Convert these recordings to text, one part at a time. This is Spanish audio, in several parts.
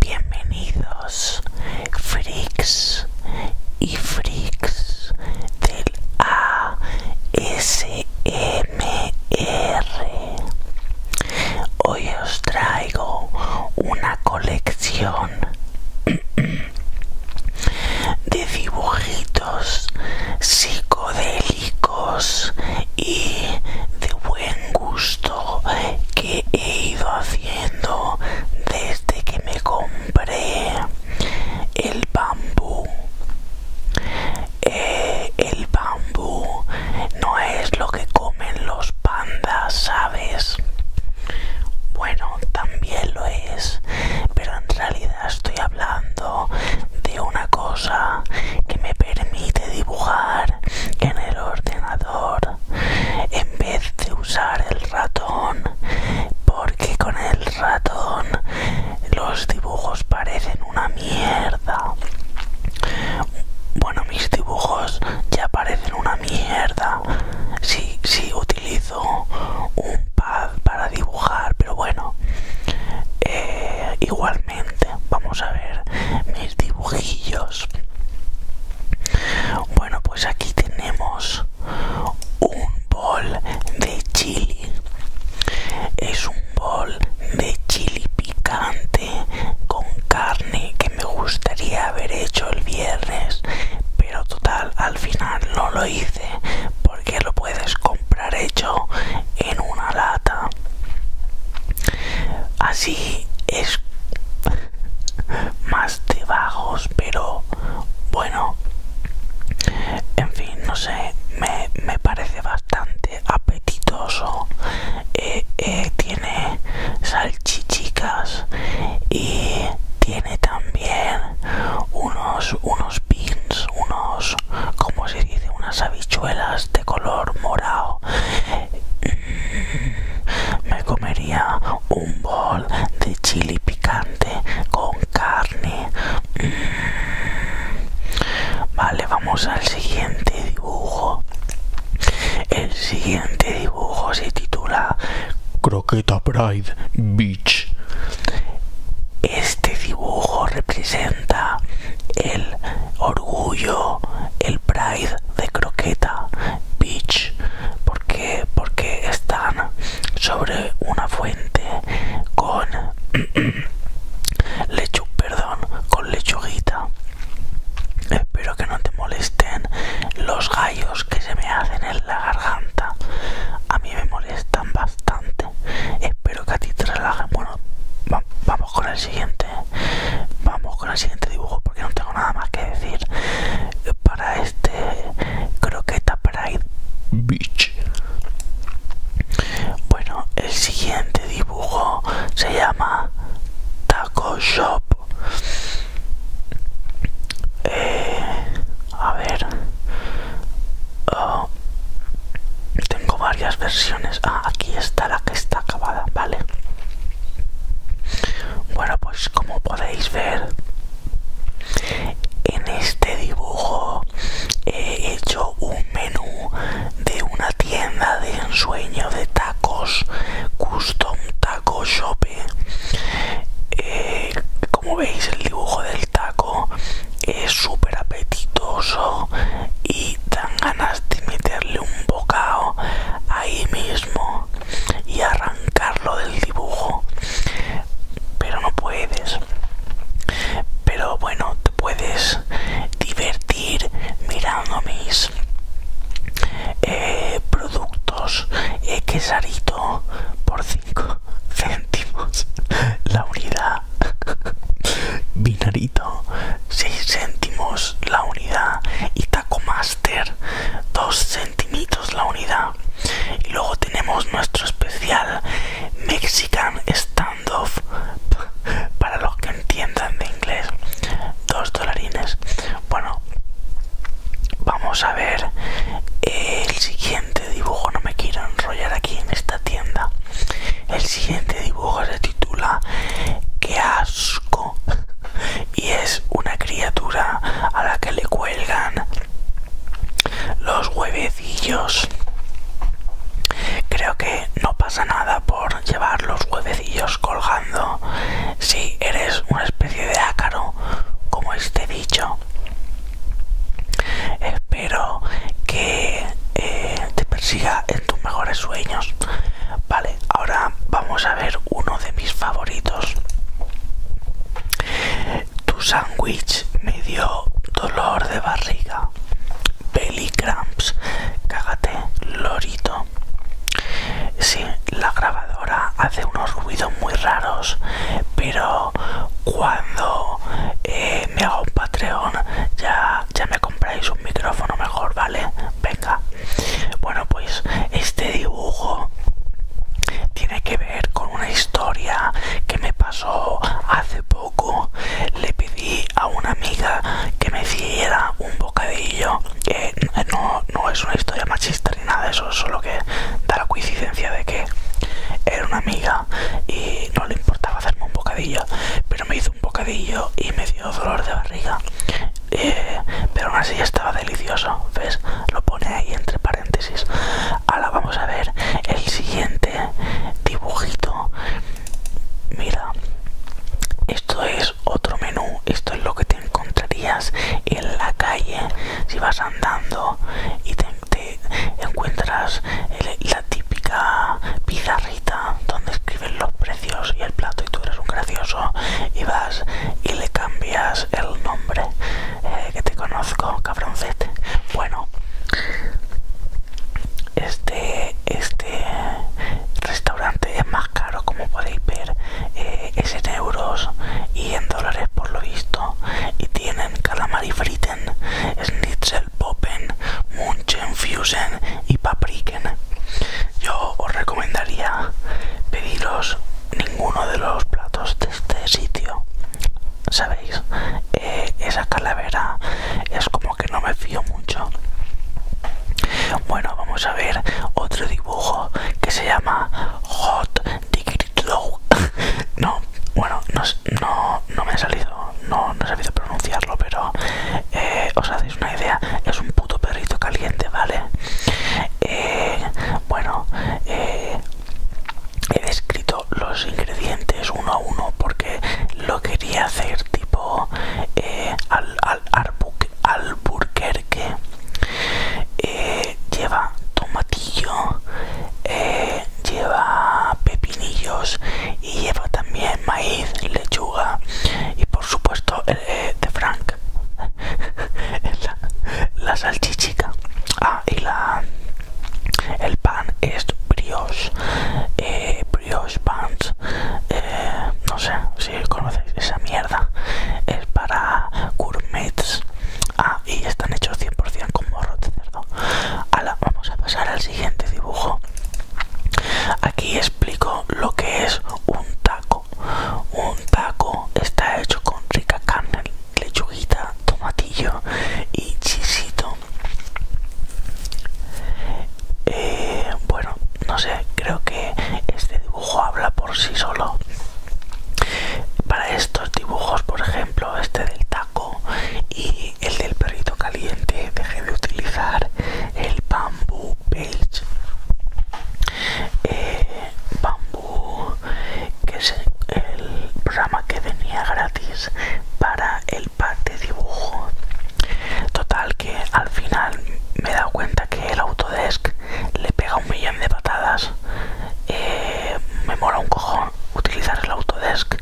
Bienvenidos, Fricks y Fricks del ASMR. Hoy os traigo una colección de dibujitos psicodélicos y de buen gusto que he ido haciendo desde que me compré el bambú. Eh, el bambú no es lo que comen los pandas, ¿sabes? Bueno, también lo es, pero en realidad estoy hablando de una cosa que me permite dibujar en el ordenador en vez de usar el ratón porque con el ratón los dibujos parecen una mierda bueno mis dibujos ya parecen una mierda si utilizo un pad para dibujar, pero bueno, eh, igualmente vamos a ver mis dibujillos. Bueno, pues aquí tenemos un bol de chili. Es un bol de chili picante con carne que me gustaría haber hecho el viernes, pero total, al final no lo hice porque lo puedes comprar hecho en una lata así es más de bajos pero bueno en fin no sé me, parece bastante apetitoso eh, eh, tiene salchichicas y tiene también unos pins, unos, como se dice, unas habichuelas de color morado. Mm, me comería un bol de chili picante con carne. Mm, vale, vamos al siguiente dibujo. El siguiente dibujo se titula Croqueta Pride este dibujo representa el orgullo, el pride de Croqueta Beach. ¿Por Porque están sobre una fuente con lechu, perdón, con lechuguita. Espero que no te molesten los gallos que se me hacen en la garganta. A mí me están bastante. Espero que a ti te relajes Bueno, vamos con el siguiente. Vamos con el siguiente dibujo porque no tengo nada más que decir. Para este croqueta Pride Beach. Bueno, el siguiente dibujo se llama Taco Shop. Eh, a ver oh. tengo varias versiones ah aquí está la que está acabada vale bueno pues como podéis ver en este dibujo he hecho un menú de una tienda de ensueño de tacos custom taco shop eh, como veis el dibujo del taco es súper apetitoso y dan ganas de meterle un bocado ahí mismo y arrancarlo del dibujo pero no puedes pero bueno te puedes divertir mirando mis eh, productos por 5 céntimos la unidad binarito 6 céntimos la unidad y taco master 2 centimitos la unidad y luego tenemos nuestro especial mexican standoff para los que entiendan de inglés 2 dolarines bueno vamos a ver el siguiente dibujo no me quiero enrollar aquí en esta tienda el siguiente dibujo se titula qué asco y es una criatura a la que le cuelgan los huevecillos creo que no pasa nada por llevar los huevecillos colgando si eres una especie de ácaro como este dicho Espero que eh, te persiga en tus mejores sueños. Vale, ahora vamos a ver uno de mis favoritos. Tu sándwich me dio dolor de barriga. Belly cramps. Cágate, lorito. Sí, la grabado ahora hace unos ruidos muy raros, pero cuando eh, me hago un Patreon ya, ya me compráis un micrófono mejor, ¿vale? Venga. Bueno, pues este dibujo tiene que ver con una historia que me pasó hace poco. Le pedí a una amiga que me hiciera un bocadillo. que eh, no, es una historia machista ni nada, eso, solo que da la coincidencia de que era una amiga y no le importaba hacerme un bocadillo, pero me hizo un bocadillo y me dio dolor de barriga. Eh, pero aún así estaba delicioso, ¿ves? Lo pone ahí entre paréntesis. Ahora vamos a ver el siguiente dibujito. Mira, esto es otro menú, esto es lo que tiene encontrarías en la calle si vas andando y te, encuentras la típica pizarrita donde escriben los precios y el plato y tú eres un gracioso y vas y le cambias el nombre eh, que te conozco cabroncete bueno este este restaurante es más caro como podéis ver eh, es en euros y en dólares por lo visto. Y tienen calamari friten, schnitzel poppen, munchen fusen y papriken. Yo os recomendaría pediros ninguno de los platos de este sitio. Sabéis, eh, esa calavera es como que no me fío mucho. Bueno, vamos a ver otro que se llama Hot Low. no, bueno, no, no, me ha salido, no, no he sabido pronunciarlo, pero eh, os hacéis una idea, es un puto perrito caliente, ¿vale? Eh, bueno, eh, he descrito los ingredientes uno a uno porque lo quería hacer tipo al, arbuque Alburquerque que eh, lleva tomatillo eh, lleva pepinillos y lleva también maíz lechuga y por supuesto el eh, de frank la, salchichica ah, y la el pan es brioche brioche pan. no sé si conocéis esa mierda es para gourmets. Ah, y están hechos 100% con morro de cerdo. vamos a pasar al siguiente dibujo. Aquí explico lo que es un taco. Un taco está hecho con rica carne, lechuguita, tomatillo y chisito. Eh, bueno, no sé, creo que este dibujo habla por sí solo. Para estos dibujos, por ejemplo, este del taco y el del perrito caliente, dejé de utilizar el bamboo page. Eh, bamboo, que es el programa que venía gratis para el pack de dibujo. Total que al final me he dado cuenta que el Autodesk le pega un millón de patadas, eh, me mola un cojón utilizar el Autodesk.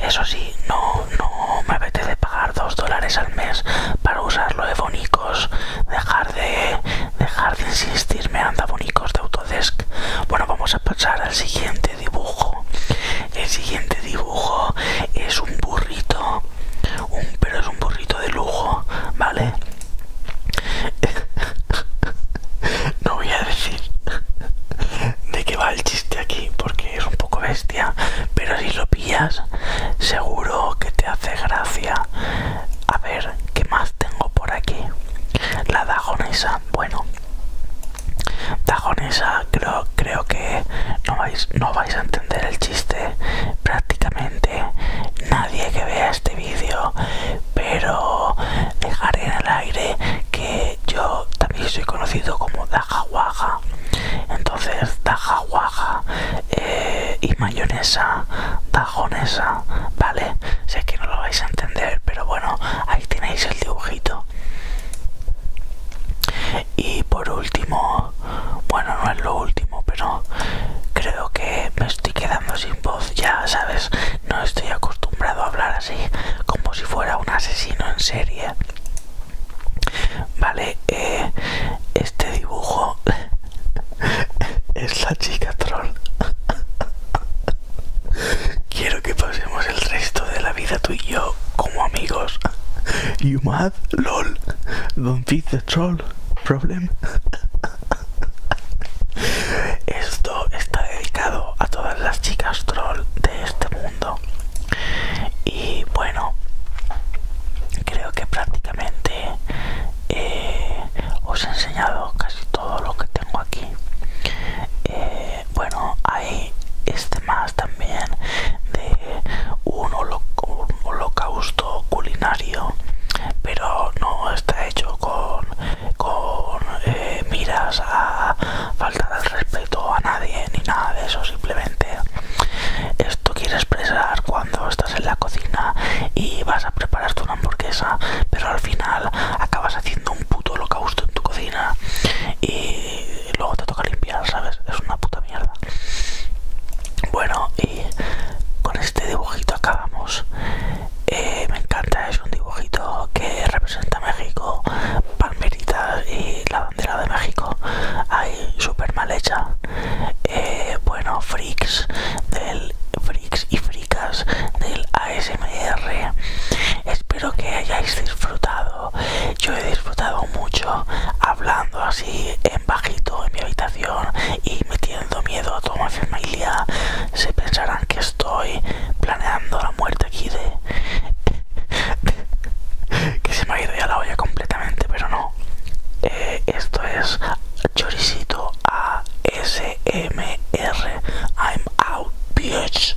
Eso sí, no, no me apetece pagar dos dólares al mes para usarlo de bonicos, dejar de, dejar de insistirme, anda bonicos de Autodesk. Bueno, vamos a pasar al siguiente dibujo. El siguiente dibujo es un burrito un, pero es un burrito de lujo, ¿vale? no voy a decir de qué va el chiste aquí porque es un poco bestia, pero si lo pillas, seguro que te hace gracia. A ver, ¿qué más tengo por aquí? La dajonesa, bueno, dajonesa creo, creo que no, no vais a entender el chiste prácticamente nadie que vea este vídeo, pero dejaré en el aire que yo también soy conocido como Dajahuaja, Entonces, Dajahuaja eh, y mayonesa, dajonesa, ¿vale? Sé que no lo vais a entender, pero bueno, ahí tenéis el dibujito y por último bueno no es lo último pero creo que me estoy quedando sin voz ya sabes no estoy acostumbrado a hablar así como si fuera un asesino en serie vale eh, este dibujo es la chica troll quiero que pasemos el resto de la vida tú y yo como amigos Yumad, lol don troll problem. Esto está dedicado a todas las chicas troll de este mundo. Y bueno, creo que prácticamente eh, os he enseñado casi todo lo que tengo aquí. Eh, bueno, hay este más también de un, holocausto culinario, pero no está hecho con, con eh, miras a faltar al respeto a nadie ni nada de eso, simplemente esto quiere expresar cuando estás en la cocina y vas a preparar una hamburguesa, pero al final acabas haciendo un puto holocausto en tu cocina y y luego te toca limpiar, ¿sabes? Es una puta mierda. Bueno, y con este dibujito acabamos. Eh, me encanta, es un dibujito que representa México, palmeritas y la bandera de México. Ahí, súper mal hecha. Eh, bueno, freaks del freaks y fricas del ASMR. Espero que hayáis disfrutado yo he disfrutado mucho hablando así en bajito en mi habitación y metiendo miedo a toda mi familia. Se pensarán que estoy planeando la muerte aquí de... que se me ha ido ya la olla completamente, pero no. Eh, esto es Choricito ASMR. I'm out, bitch.